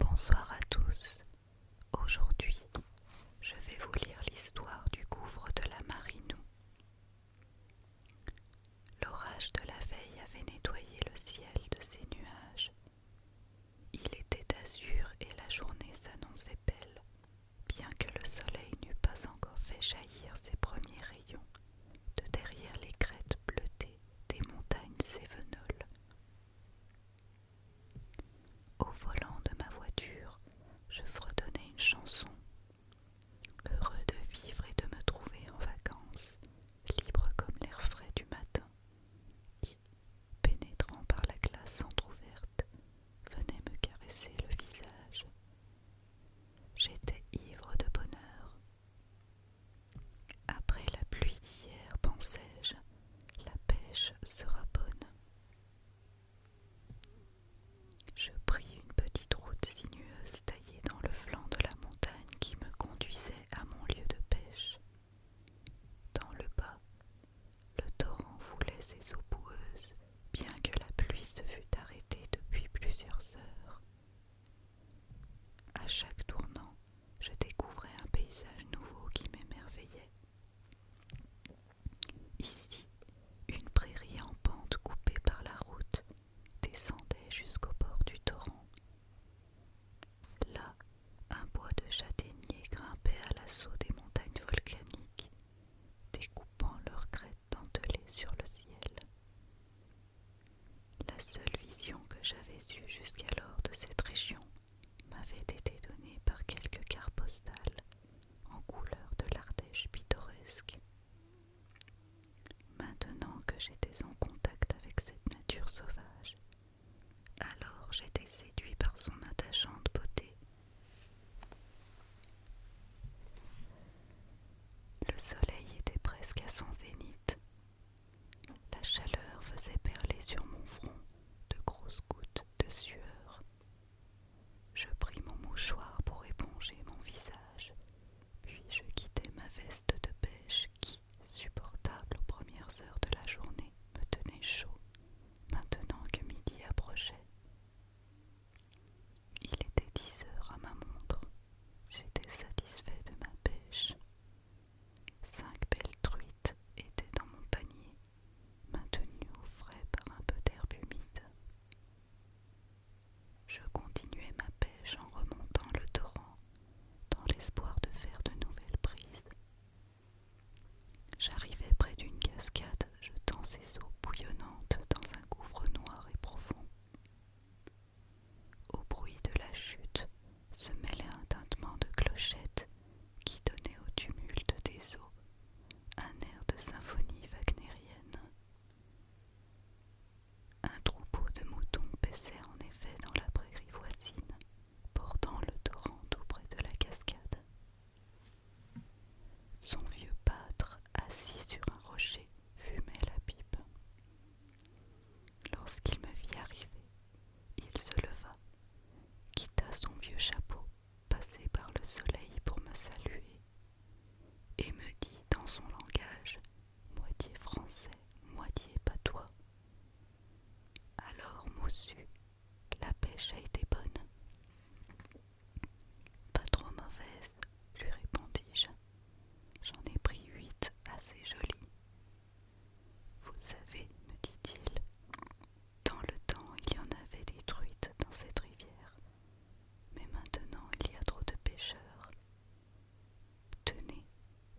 Bonsoir à tous. Aujourd'hui, je vais vous lire l'histoire du gouffre de la Marinou. L'orage de la veille avait nettoyé le ciel de ses nuages il était d'azur et la journée s'annonçait belle, bien que le soleil n'eût pas encore fait jaillir ses premiers rayons de derrière les crêtes bleutées des montagnes sévenoles. Au volant de ma voiture, je fredonnais une chanson. Heureux de vivre et de me trouver en vacances, libre comme l'air frais du matin, pénétrant par la glace entr'ouverte, venait me caresser le visage. J'étais ivre de bonheur. Après la pluie d'hier, pensais-je, la pêche sera bonne. Je pris une petite route sinueuse taillée dans le flanc de la montagne qui me conduisait à mon lieu de pêche. Dans le bas, le torrent voulait ses eaux boueuses, bien que la pluie se fût arrêtée depuis plusieurs heures. À chaque tournant, je découvrais un paysage nouveau qui m'émerveillait. Ici, une prairie en pente coupée par la route descendait jusqu'au bord du torrent, Là, un bois de châtaigniers grimpait à l'assaut des montagnes volcaniques, découpant leurs crêtes dentelées sur le ciel. La seule vision que j'avais eue jusqu'alors de cette région m'avait été donnée par quelques cartes postales en couleur de l'Ardèche pittoresque. Maintenant que j'étais en contact avec cette nature sauvage, alors j'étais séduit par son attachante beauté. Le soleil était presque à son zénith. La chaleur faisait perler sur mon front de grosses gouttes de sueur. Je pris mon mouchoir pour éponger mon visage, puis je quittai ma veste de pêche qui, supportable aux premières heures de la journée, me tenait chaud, maintenant que midi approchait. Il était dix heures à ma montre. J'étais satisfait de ma pêche. Cinq belles truites étaient dans mon panier, maintenues au frais par un peu d'herbe humide. Je continuais ma pêche en remontant le torrent, dans l'espoir de faire de nouvelles prises. J'arrivai près d'une cascade jetant ses eaux bouillonnantes dans un gouffre noir et profond. Au bruit de la chute se mêlait un tintement de clochettes qui donnait au tumulte des eaux un air de symphonie wagnérienne. Un troupeau de moutons paissait en effet dans la prairie voisine, Portant le torrent tout près de la cascade. Son vieux pâtre, assis sur un rocher, fumait la pipe. Lorsqu'il me vit arriver, il se leva, quitta son vieux chapeau, passé par le soleil pour me saluer, et me dit dans son langage, moitié français, moitié patois, alors, Moussu, la pêche a été bonne. Pas trop mauvaise, lui répondis-je. J'en ai pris huit assez jolies. Vous savez, me dit-il, dans le temps il y en avait des truites dans cette rivière, mais maintenant il y a trop de pêcheurs. Tenez,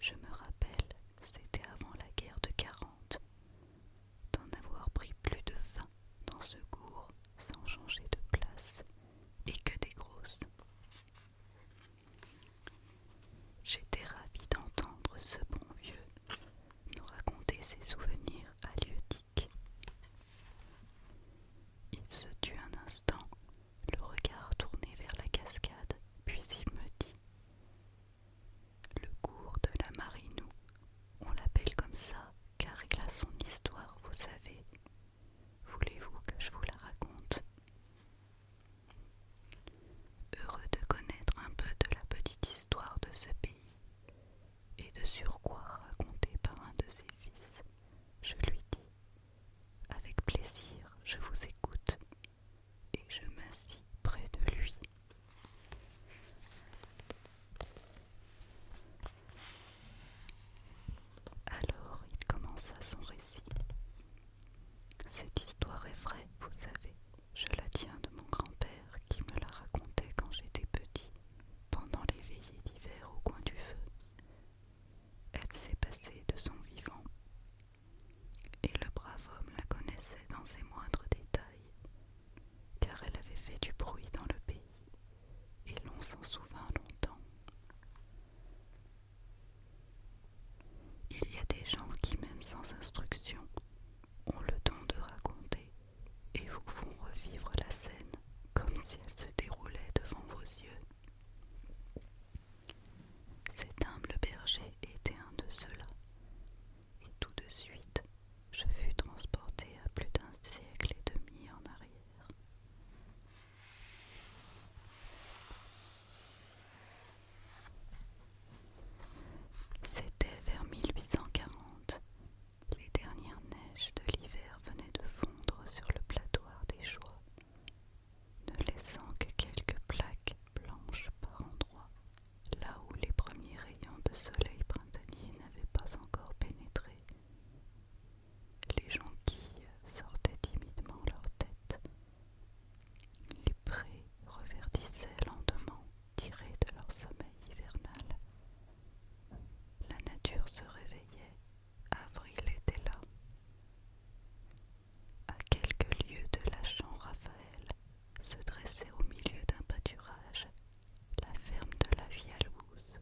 je me rappelle, c'était avant la guerre de 40, d'en avoir pris plus de vingt dans ce cours sans changer de place et que des grosses. J'étais ravie d'entendre ce bon vieux nous raconter ses souvenirs halieutiques. Il se tut un instant, le regard tourné vers la cascade, puis il me dit le cours de la Marinou, on l'appelle comme ça car il a son histoire, vous savez. Voulez-vous que je vous la raconte Heureux de connaître un peu de la petite histoire de ce pays et de surcroît racontée par un de ses fils, je lui dis Avec plaisir, je vous écoute et je m'assis près de lui. Alors il commença son récit. Cette histoire est vraie, vous savez. Je la tiens de mon grand-père qui me la racontait quand j'étais petit, pendant les veillées d'hiver au coin du feu. Elle s'est passée de son vivant et le brave homme la connaissait dans ses moindres détails, car elle avait fait du bruit dans le pays, et l'on s'en souvint longtemps. Il y a des gens qui, même sans instruction, ont le don de raconter et vous font revivre la scène comme si elle se déroulait devant vos yeux. Cet humble berger était un de ceux-là, et tout de suite je fus transporté à plus d'un siècle et demi en arrière. C'était vers 1840. Les dernières neiges de l'hiver venaient de fondre sur le plateau des Choix ne laissant que quelques plaques blanches par endroits, là où les premiers rayons de soleil printanier n'avaient pas encore pénétré. Les jonquilles sortaient timidement leurs têtes, Les prés reverdissaient lentement, tirés de leur sommeil hivernal. La nature se réveillait, avril était là. À quelques lieues de la chambre, raphaël se dressait au milieu d'un pâturage la ferme de la Vialouse,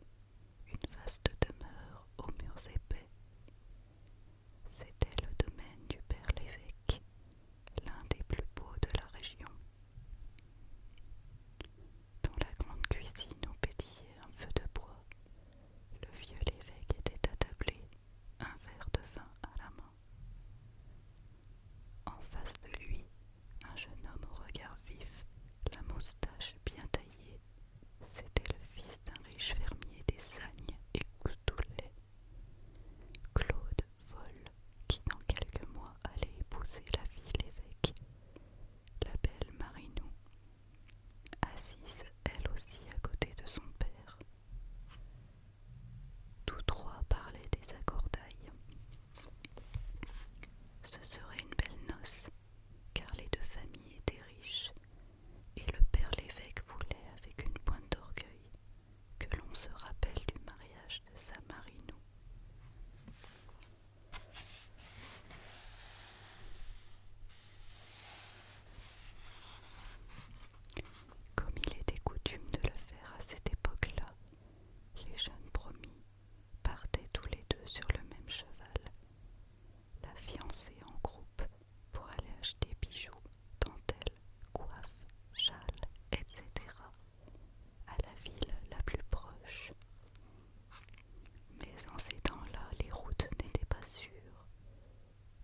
une vaste demeure aux murs épais. C'était le domaine du père l'évêque, l'un des plus beaux de la région. Dans la grande cuisine où pétillait un feu de bois, le vieux l'évêque était attablé, un verre de vin à la main. En face de lui, un jeune homme au regard vif, la moustache bien taillée. C'était le fils d'un riche fermier des Sagnes et Coutoulet, Claude Vol, qui dans quelques mois allait épouser la fille l'évêque, la belle Marinou, assise elle aussi à côté de son père. Tous trois parlaient des accordailles. Ce serait une belle noce, car les deux familles étaient riches, et le père l'évêque voulait, avec une pointe d'orgueil, que l'on se rappelle du mariage de sa comme il était coutume de le faire à cette époque-là, les jeunes promis partaient tous les deux sur le même cheval, la fiancée en groupe pour aller acheter bijoux, dentelles, coiffes, châles, etc. à la ville la plus proche. Mais en ces temps-là, les routes n'étaient pas sûres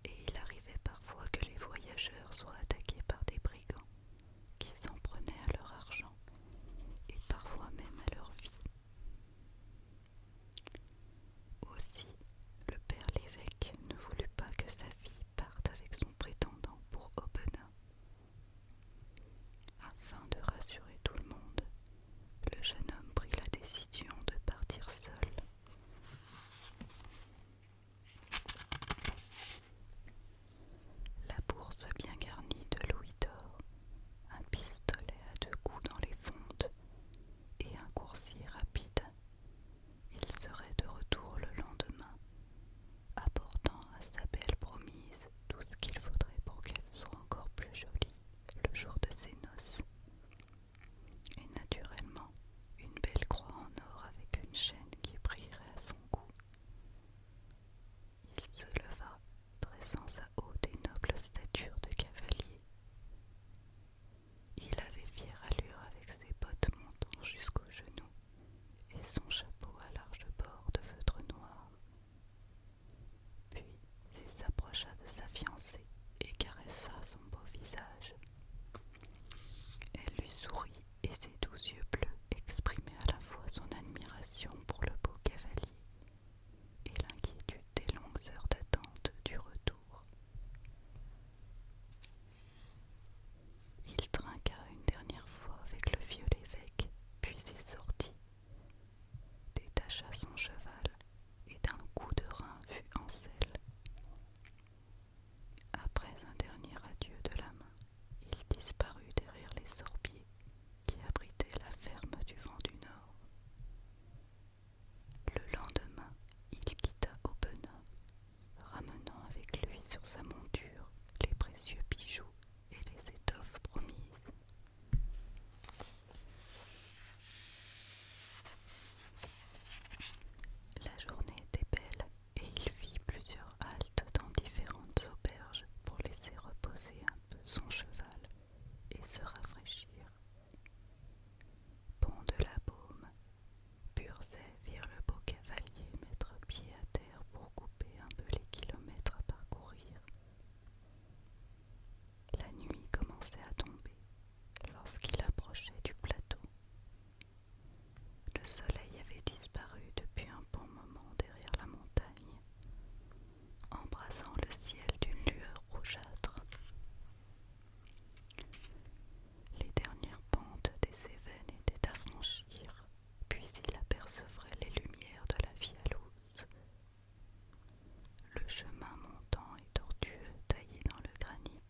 et il arrivait parfois que les voyageurs soient attaqués par des brigands qui s'en prenaient à leur argent et parfois même à leur vie. Aussi, le père l'évêque ne voulut pas que sa fille parte avec son prétendant pour Aubenas. Afin de rassurer tout le monde, le jeune homme prit la décision de partir seul. La bourse bien garnie de louis d'or, un pistolet à deux coups dans les fontes et un coursier rapide. Il serait de retour le lendemain, apportant à sa belle promise tout ce qu'il faudrait pour qu'elle soit encore plus jolie le jour de ses noces et naturellement une belle croix en or avec une chaîne qui brillerait à son cou. Il se leva, dressant sa haute et noble stature de cavalier. Il avait fière allure avec ses bottes montant jusqu'aux genoux et son chapeau à large bord de feutre noir. Puis il s'approcha de sa fiancée et caressa son beau visage. Elle lui sourit et ses doux yeux bleus exprimaient à la fois son admiration pour le beau cavalier et l'inquiétude des longues heures d'attente du retour. Il trinqua une dernière fois avec le vieux l'évêque, puis il sortit, détacha son cheval et d'un coup de rein fut en selle. Après un dernier adieu de la main, il disparut derrière les sorbiers qui abritaient la ferme du vent du Nord. Le lendemain, il quitta Aubenas, ramenant avec lui sur sa monture les précieux bijoux et les étoffes promises. La journée était belle et il fit plusieurs haltes dans différentes auberges pour laisser reposer un peu son cheval et se rafraîchir. Pont de la Baume, Burzet vire le beau cavalier mettre pied à terre pour couper un peu les kilomètres à parcourir. La nuit commençait à tomber lorsqu'il approchait du plateau le soleil avait disparu depuis un bon moment derrière la montagne, embrassant le ciel d'une lueur rougeâtre. Les dernières pentes des Cévennes étaient à franchir, puis il apercevrait les lumières de la Vialouse. Le chemin montant et tortueux taillé dans le granit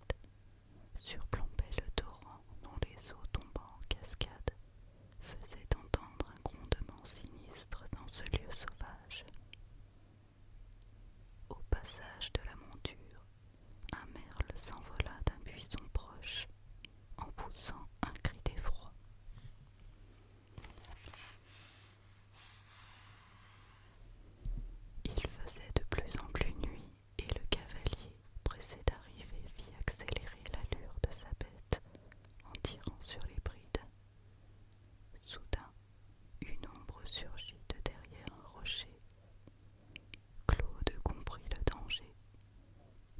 surplombait le torrent dont les eaux tombant en cascade faisaient entendre un grondement sinistre dans ce lieu sauvage. Au passage de la monture, un merle s'envola d'un buisson proche en poussant un cri d'effroi. Il faisait de plus en plus nuit et le cavalier, pressé d'arriver, fit accélérer l'allure de sa bête en tirant sur les brides. Soudain, une ombre surgit de derrière un rocher. Claude comprit le danger,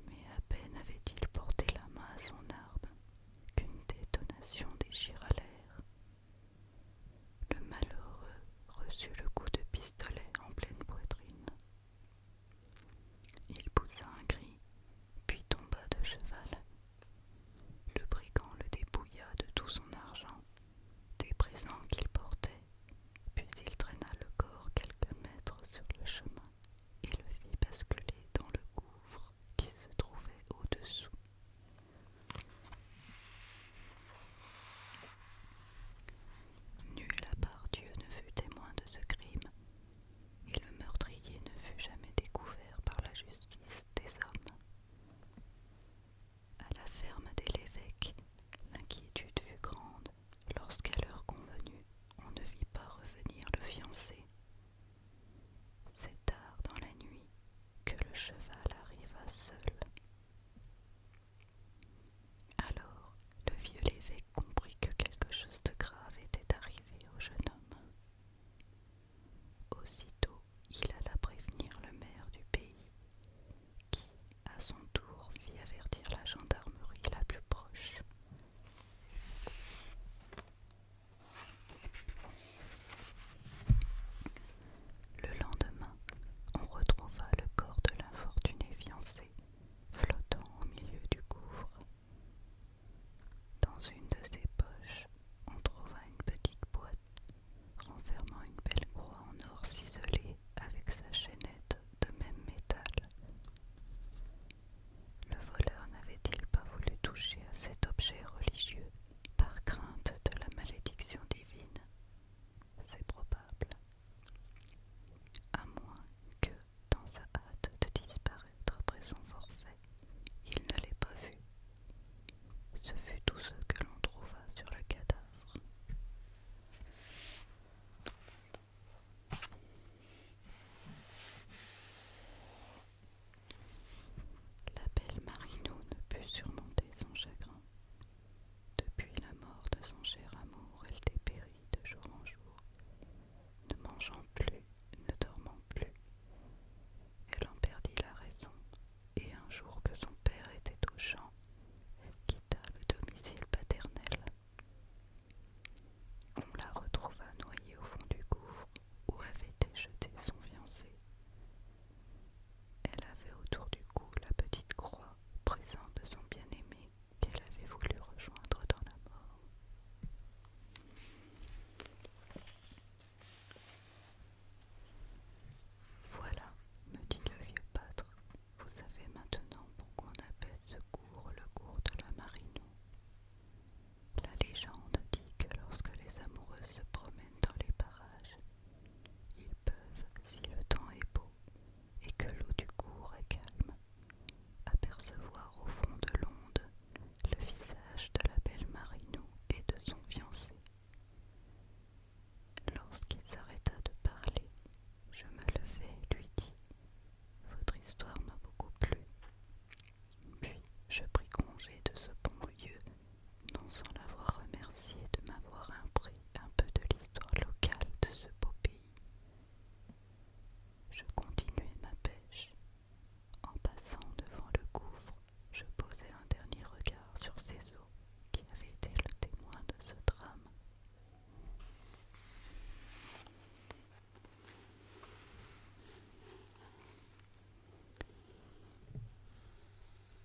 mais à peine avait-il porté la main à son arme qu'une détonation déchira l'air le malheureux reçut le coup de pistolet en pleine poitrine. Il poussa un cri, puis tomba de cheval. Le brigand le dépouilla de tout son argent, des présents qu'il portait, puis il traîna le corps quelques mètres sur le chemin et le fit basculer dans le couvre qui se trouvait au-dessous. Nul à part Dieu ne fut témoin de ce crime, et le meurtrier ne fut jamais découvert par la justice des hommes. À la ferme des l'évêque, l'inquiétude fut grande lorsqu'à l'heure convenue, on ne vit pas revenir le fiancé. C'est tard dans la nuit que le cheval arriva seul. Alors le vieux l'évêque comprit que quelque chose de grave était arrivé au jeune homme. Aussitôt il alla prévenir le maire du pays, qui, à son tour, fit avertir la gendarmerie la plus proche. Le lendemain, on retrouva le corps de l'infortuné fiancée flottant au milieu du couvre. Dans une de ses poches, on trouva une petite boîte renfermant une belle croix en or ciselée avec sa chaînette de même métal. Le voleur n'avait-il pas voulu toucher à cet objet religieux par crainte de la malédiction divine c'est probable. À moins que, dans sa hâte de disparaître après son forfait, il ne l'ait pas vu. Ce fut tout ce que l'on trouva sur le cadavre. La belle Marino ne put surmonter son chagrin. Depuis la mort de son cher amour, elle dépérit de jour en jour, ne mangeant plus, ne dormant plus. Elle en perdit la raison, et un jour que son père était au champ, elle quitta le domicile paternel. On la retrouva noyée au fond du gouffre où avait été jeté son fiancé, elle avait autour du cou la petite croix présente de son bien-aimé qu'elle avait voulu rejoindre dans la mort. Voilà, me dit le vieux pâtre, vous savez maintenant pourquoi on appelle ce cours le cours de la Marinou. La légende dit que lorsque les amoureuses se promènent dans les parages, ils peuvent, si le temps est beau et que l'eau du cours est calme, apercevoir au fond de l'onde le visage de la belle Marino et de son fiancé. Lorsqu'il s'arrêta de parler, je me levai et lui dis Votre histoire m'a beaucoup plu. Puis je pris congé de ce bon lieu non sans l'avoir remercié de m'avoir appris un peu de l'histoire locale de ce beau pays. Je continuai ma pêche. En passant devant le gouffre, je posai un dernier regard sur ces eaux qui avaient été le témoin de ce drame.